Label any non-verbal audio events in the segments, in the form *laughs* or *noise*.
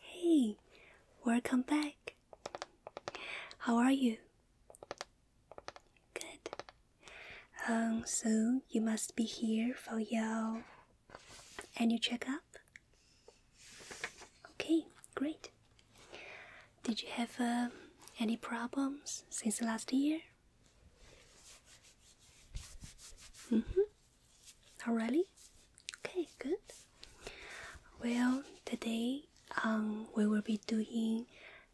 Hey, welcome back. How are you? Good. Um, so you must be here for your annual checkup. Okay, great. Did you have uh, any problems since last year? Mm -hmm. Already? Okay, good. Well, today um, we will be doing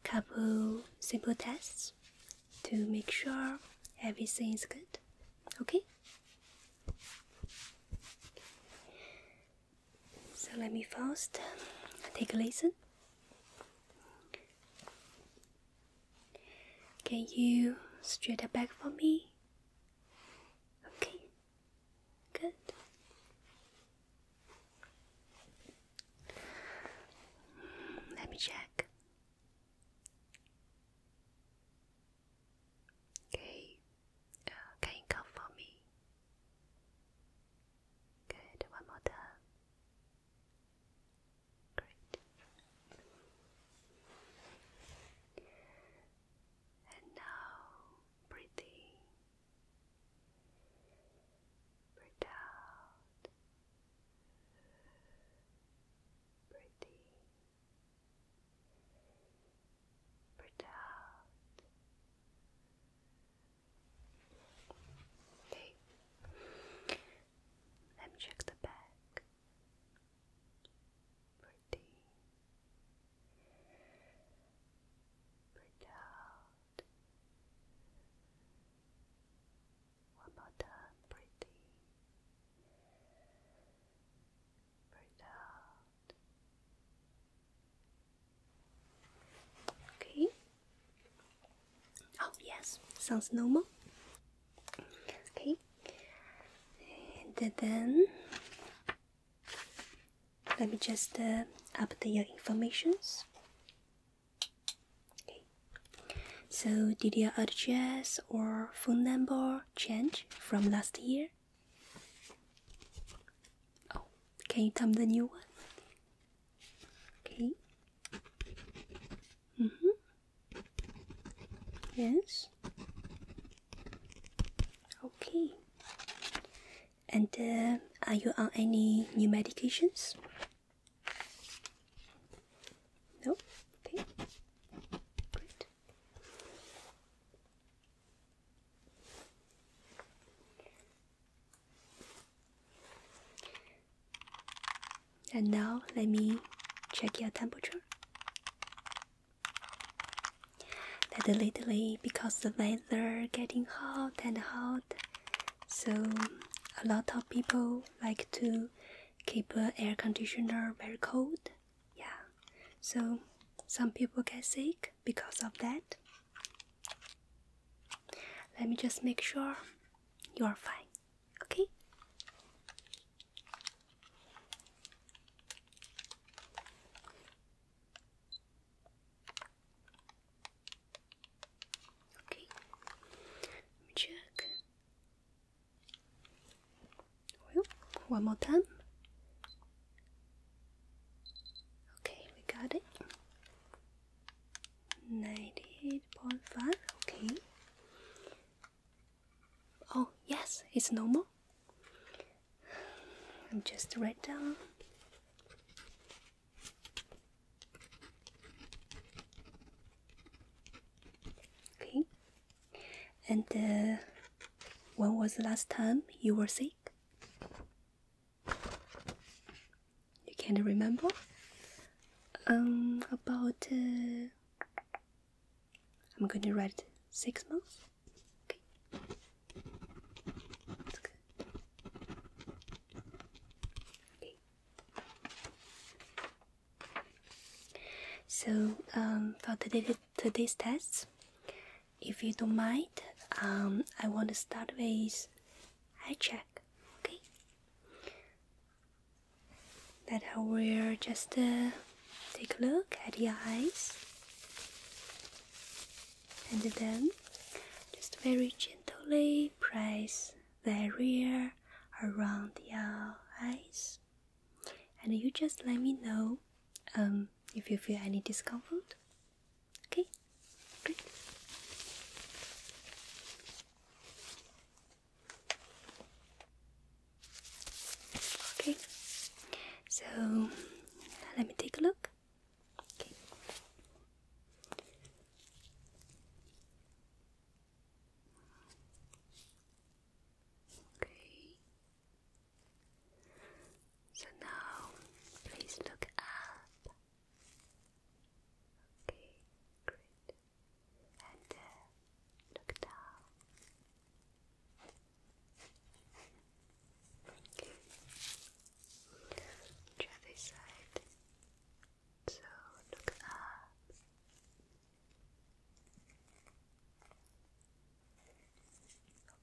a couple simple tests to make sure everything is good. Okay? So let me first take a listen. Can you straight it back for me? Okay, good. Let me check. Okay, uh, can you come for me? Good, one more time. Great. And now breathe in, breathe out, breathe in, breathe out. Okay. Let me check the back pretty, pretty One more time, pretty, pretty Okay. Oh yes, sounds normal. Okay, and then let me just uh, update your informations. Okay. So did your address or phone number change from last year? Oh, can you tell the new one? Okay. Mm hmm. Yes. Okay. And uh, are you on any new medications? No? Okay. Great. And now let me check your temperature. That lately, because the weather getting hot and hot, so a lot of people like to keep uh, air conditioner very cold. Yeah, so some people get sick because of that. Let me just make sure you are fine. Okay. Okay, let me check. Well, one more time. Okay, we got it. 98.5, okay. Oh, yes, it's normal. I'm just write down. Okay. And uh, when was the last time you were sick? You can't remember? Um, about uh, I'm going to write six months. Okay. So um, for today's test, if you don't mind, um, I want to start with eye check. Okay that I will just uh, take a look at the eyes and then just very gently press the rear around your uh, eyes and you just let me know um, if you feel any discomfort okay great Okay, so let me take a look. Okay. So now, please look up. Okay, great and uh, look down. The other side. So look up.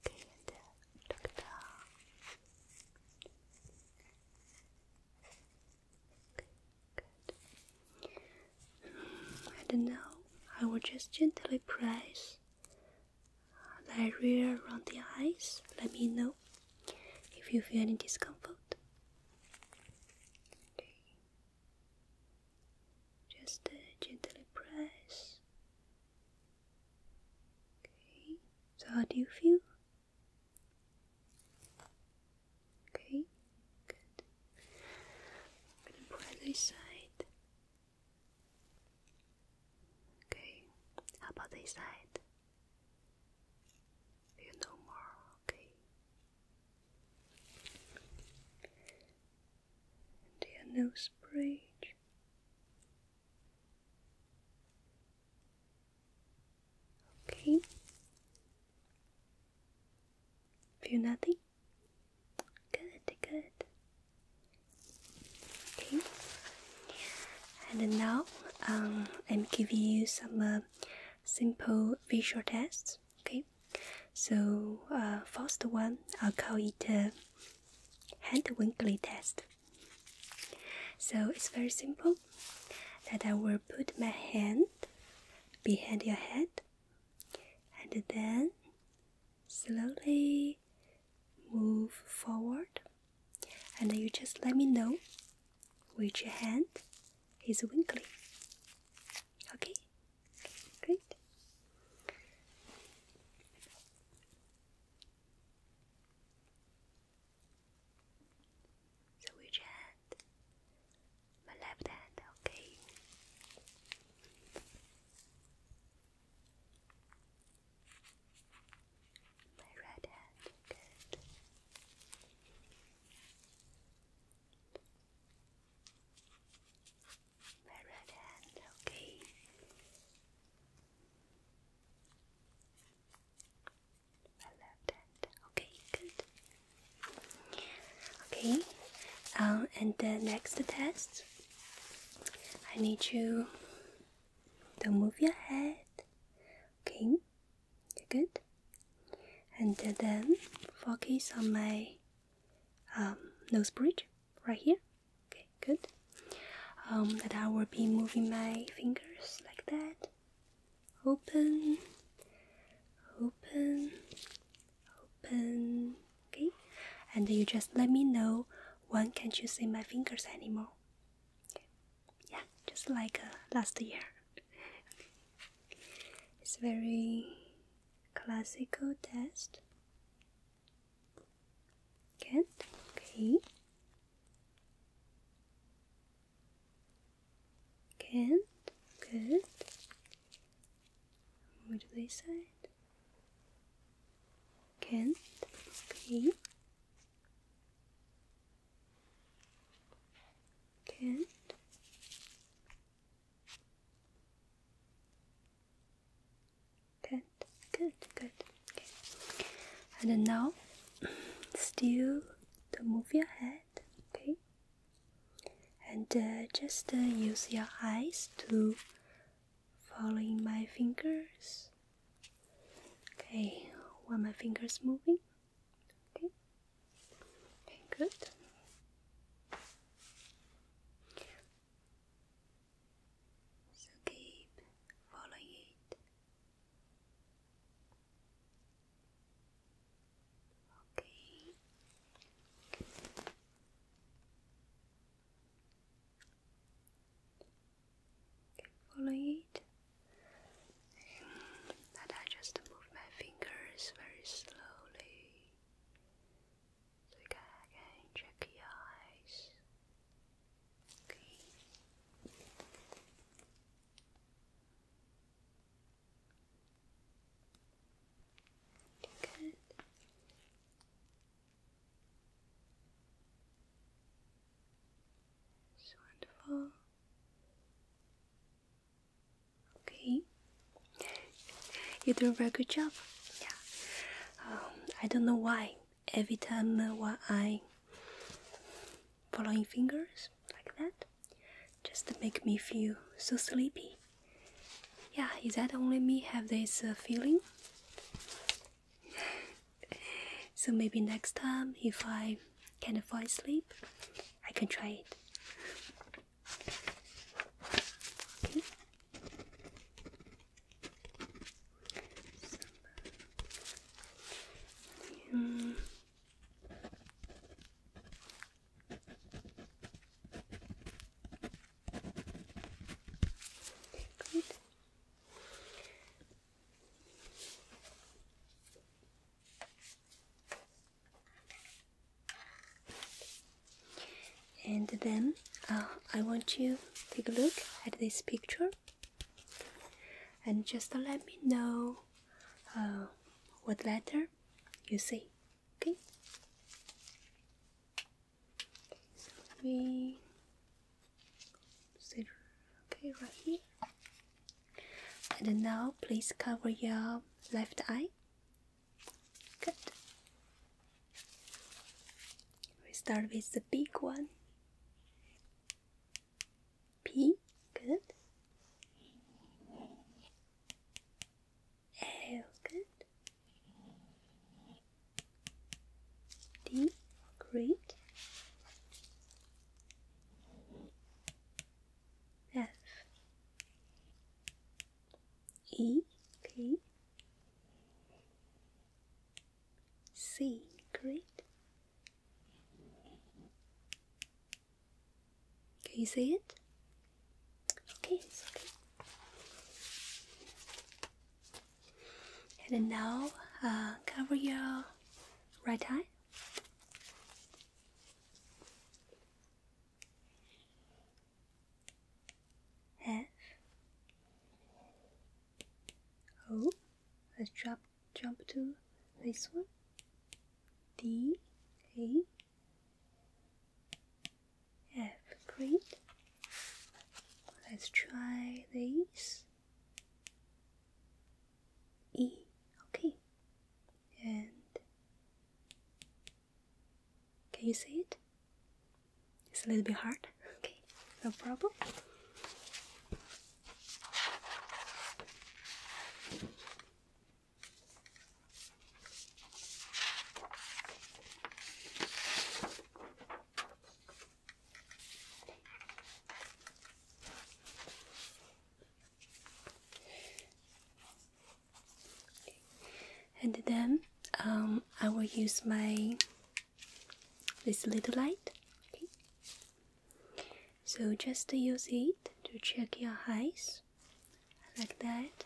Okay, and uh, look down. I don't know. I will just gently press the area around the eyes. Let me know if you feel any discomfort. Okay. Just uh, gently press. Okay. So how do you feel? Okay. I'm going side. Okay, how about this side? You know more, okay? And your nose bridge. Okay. Feel nothing? Good, good. Okay. And now um, I'm giving you some uh, simple visual tests. Okay. So uh, first one, I'll call it hand winkly test. So it's very simple. That I will put my hand behind your head and then slowly move forward and you just let me know which hand is winkling. Okay? Great. So which hand my left hand, okay? My right hand, good. My right hand, okay. My left hand, okay, good. Okay, um, and the next test, I need you to move your head. Okay, good. And then focus on my um, nose bridge right here. Okay, good. Um, that I will be moving my fingers like that. Open, open, open. Okay, and you just let me know when can't you see my fingers anymore. Yeah, just like uh, last year. *laughs* it's very classical test. Good. Okay. Good. Good. What do they say? Can't. Okay. Can't. Good, good, good. Okay. And now, still don't move your head, okay? and uh, just uh, use your eyes to following my fingers. Okay, while my fingers moving. Okay. Okay, good. So keep following it. Okay. Okay, follow it. But I just move my fingers very slowly. So you can check your eyes. Okay. Good. It's wonderful. Okay. You do a very good job. Yeah. Um, I don't know why. Every time uh, while I following fingers like that, just make me feel so sleepy. Yeah, is that only me have this uh, feeling? *laughs* so maybe next time, if I can't fall asleep, I can try it. And then uh, I want you to take a look at this picture and just let me know uh, what letter you see. Okay. So we sit okay right here. And now please cover your left eye. Good. We start with the big one. P. Good. Oh, good. D, great. F, E, K, C, great. Can you see it? Okay, it's okay. And now uh, cover your right eye. F O. Oh, let's drop jump to this one. D A F great. Let's try this. E, okay. And can you see it? It's a little bit hard. *laughs* Okay, no problem. And then um, I will use my this little light. So just use it to check your eyes like that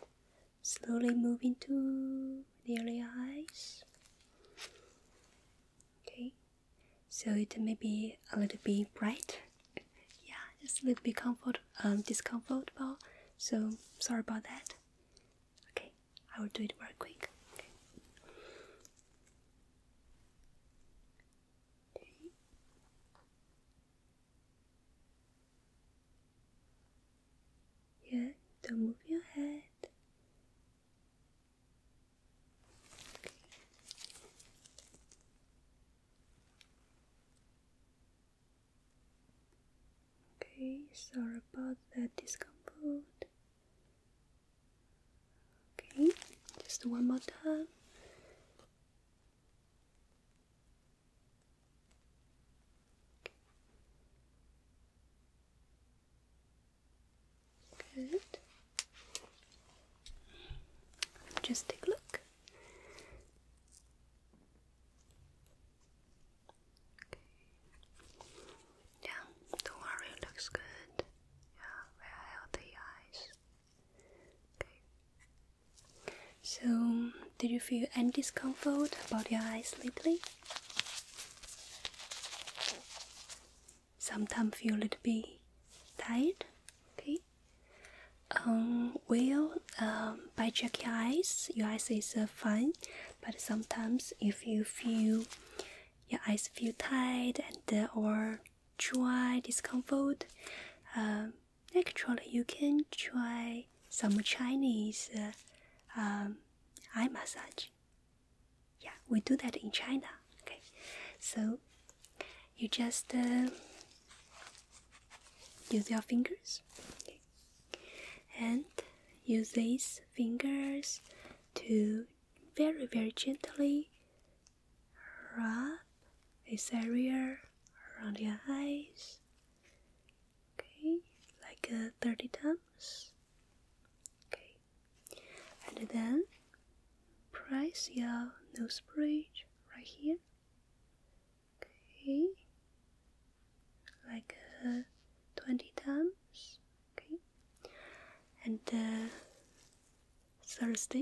slowly moving to the area eyes. Okay, so it may be a little bit bright. *laughs* yeah, just a little bit comfort, um, discomfortable. So sorry about that. Okay, I will do it very quick. Yeah, don't move your head. Okay. sorry about that discomfort. Okay, just one more time. Good. Just take a look. Yeah, don't worry, looks good. Yeah, very healthy eyes. Okay. So, did you feel any discomfort about your eyes lately? Sometimes feel a little bit tired. Okay. Um. Well. Um. By checking your eyes. Your eyes is uh, fine, but sometimes if you feel your eyes feel tight and uh, or dry discomfort, um, actually you can try some Chinese. Uh, um, eye massage. Yeah, we do that in China. Okay, so you just uh, use your fingers and use these fingers to very, very gently rub this area around your eyes. Okay, like uh, 30 times. Okay, and then press your nose bridge right here. Okay, like uh, 20 times. Okay, and the uh, third step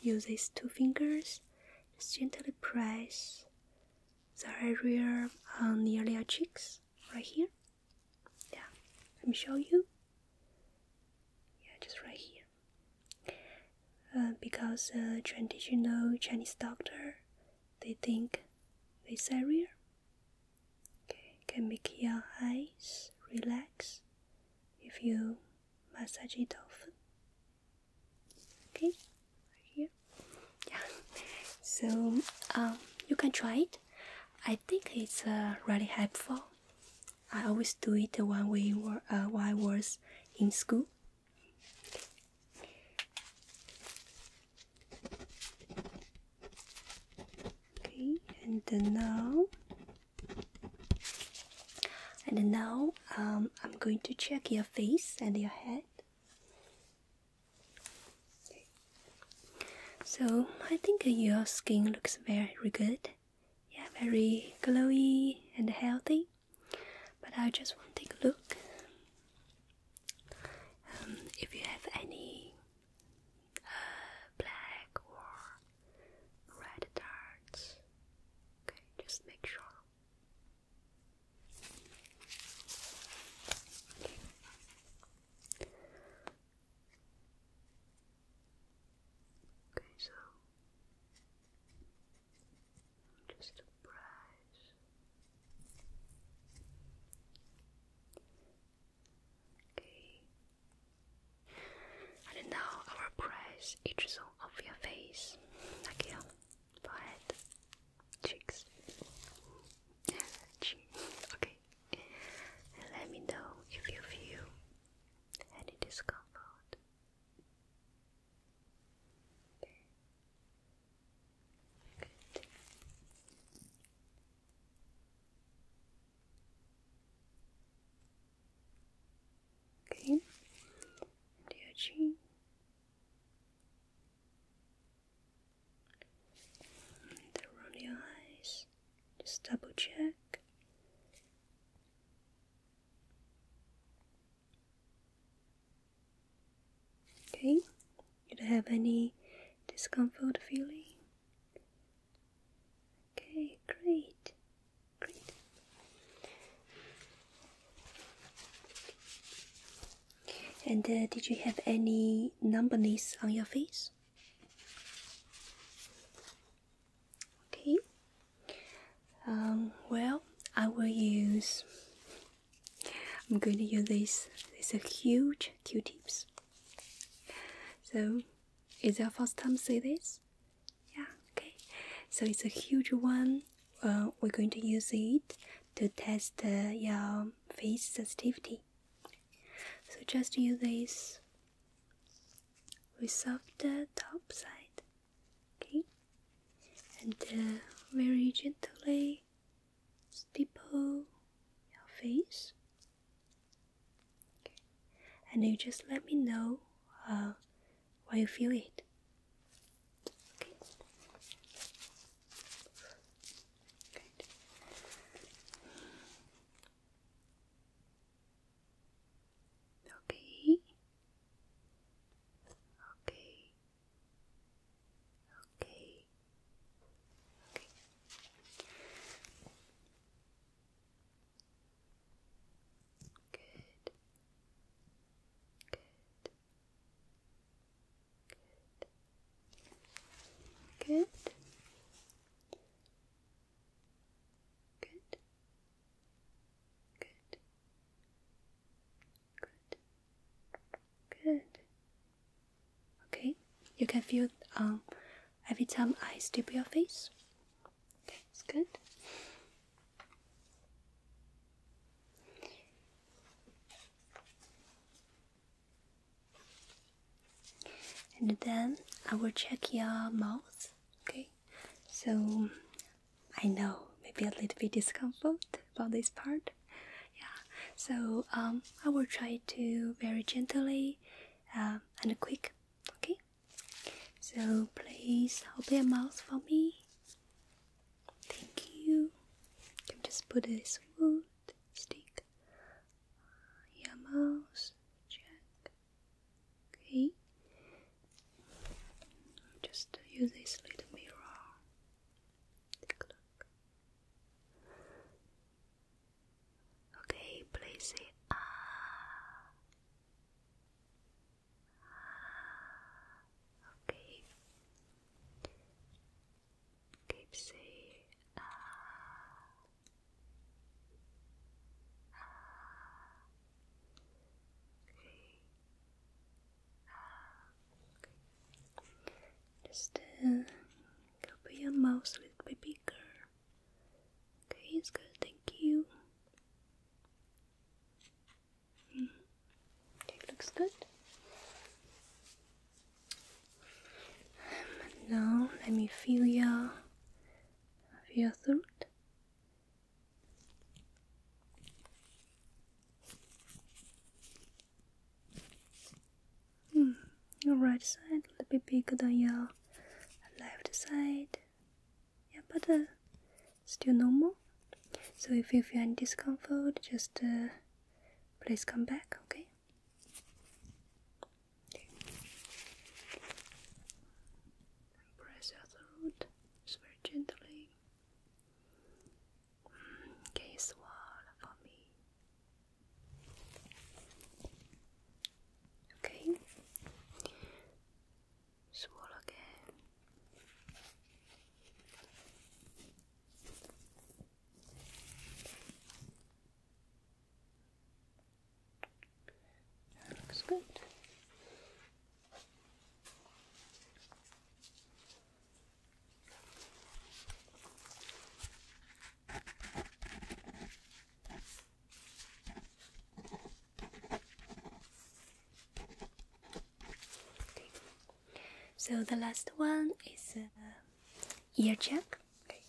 use these two fingers, just gently press the area on nearly your cheeks right here yeah let me show you yeah just right here uh, because uh, traditional Chinese doctor they think this area okay, can make your eyes relax if you massage it often okay right here yeah so um, you can try it I think it's uh, really helpful I always do it when we were uh, while I was in school okay and then now and now um, I'm going to check your face and your head so I think your skin looks very good. Yeah, very glowy and healthy. But I just want to take a look. Um, if you have any uh, black or red dots, okay, just make sure. Okay, so just a Okay. And now I will press each zone of your face, like your forehead, cheeks, okay. Let me know if you feel any discomfort. Good. Okay, and around your eyes. Just double check. Okay, you don't have any discomfort feeling? Okay, great, great. And uh, did you have any numbness on your face? Okay. Um, well, I will use. I'm going to use this. These are huge Q-tips. So, is your first time see this? Yeah. Okay. So it's a huge one. Uh, we're going to use it to test uh, your face sensitivity. So just use this soft the uh, top side, okay? And uh, very gently stipple your face. Okay. And you just let me know uh, how you feel it. Okay. Good. Okay. Okay. Okay. Okay. Good. Good. Good. Good. Good. Good. Good. Okay. You can feel um every time I step your face. Okay, it's good and then I will check your mouth. Okay, so I know maybe a little bit discomfort about this part. Yeah, so um, I will try to very gently uh, and quick. Okay, so please open your mouth for me. Thank you. Can just put this wood stick your mouse check. Okay, just use this little mirror. Take a look. Okay, Place it. ah. ah. Okay keep saying ah, ah, ah, Just uh, cover your mouth with a bit bigger. Okay, it's good. Thank you. -hmm. It looks good. And now let me feel your, feel your throat. Hmm, your right side a little bit bigger than your left side. Yeah, but uh, still normal. So if you feel any discomfort, just uh, please come back, okay? press out the root just very gently. Okay, mm, swallow for me. Okay. Swallow again. That looks good. So the last one is uh, ear check. Okay.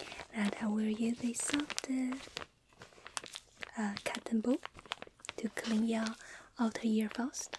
Uh, and I will use this soft uh, cotton ball to clean your outer ear first.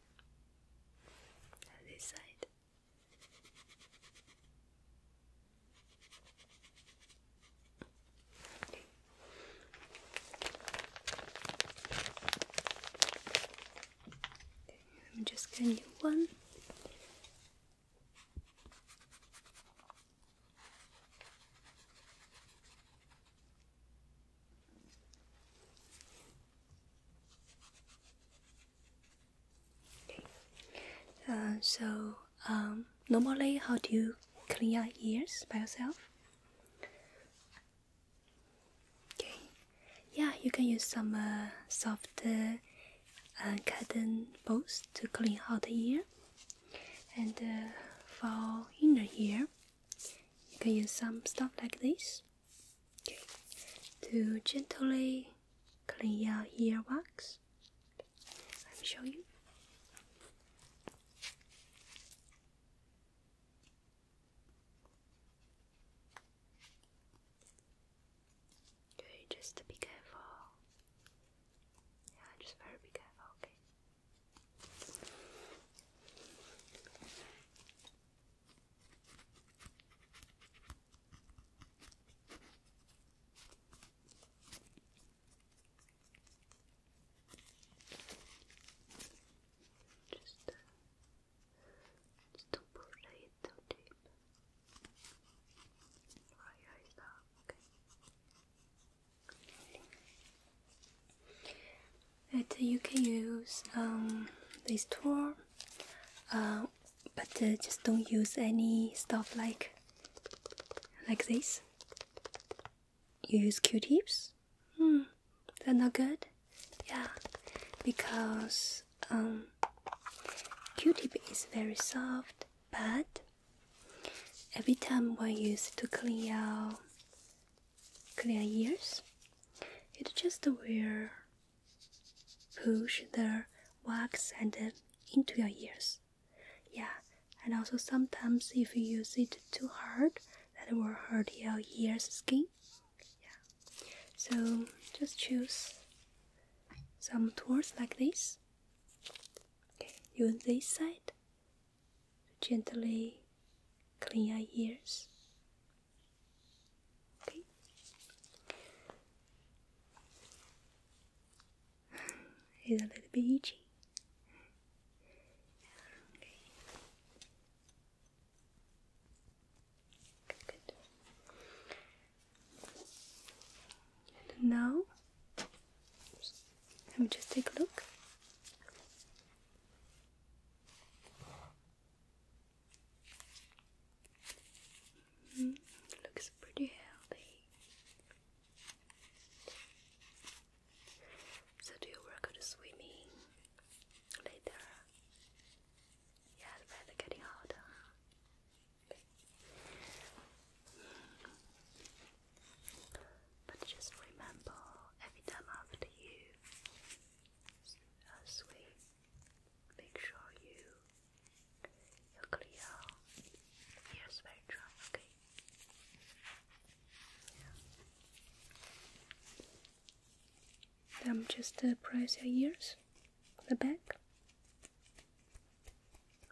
And this side. Okay. I'm just one. Okay. Uh, so, um, normally, how do you clean your ears by yourself? Okay. Yeah, you can use some uh, soft uh, uh, cotton balls to clean out the ear. And for inner ear, you can use some stuff like this. Okay. To gently clean your earwax, let me show you. Okay, just be careful. Yeah, just very careful. Okay. Just, uh, just don't push it too deep. Dry your okay? that you can use um, this tool uh, but uh, just don't use any stuff like like this you use q-tips hmm they're not good yeah because um, q-tip is very soft but every time we use to clean our clear ears it just will push the wax and uh, into your ears. Yeah, and also sometimes if you use it too hard, that will hurt your ears skin. Yeah, so just choose some tools like this. Okay, use this side to gently clean your ears. Okay. it's a little bit itchy. Okay. Good, now, let me just take a look. It mm, looks pretty healthy. So, do you work on swimming later? Yeah, the getting hotter. Mm. But just remember, every time after you uh, swim, make sure you you clear your spectrum, okay? I'm um, just uh, press your ears, the back.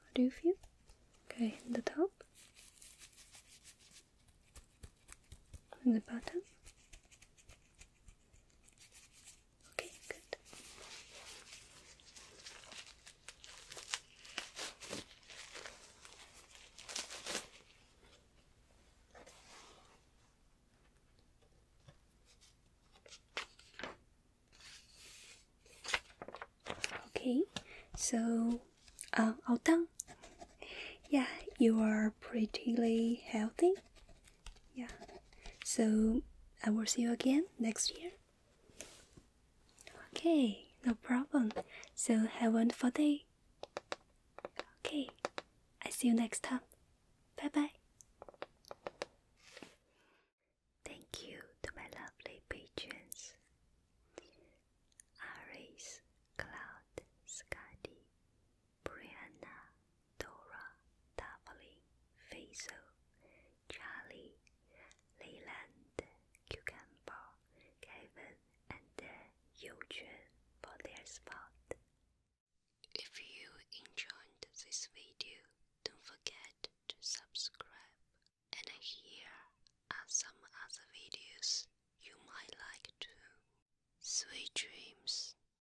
How do you feel? Okay, the top and the bottom. Okay, good. Okay, so uh, all done. Yeah, you are pretty healthy yeah so i will see you again next year okay no problem so have a wonderful day okay i see you next time bye bye Thank you to my lovely patrons Aries, Cloud, Scotty, Brianna, Dora, Daphne, Faisal, Charlie, Leland, Cucumber, Kevin, and Yuchun for their spot. If you enjoyed this video, don't forget to subscribe. And here are some other videos you might like too. Sweet dreams.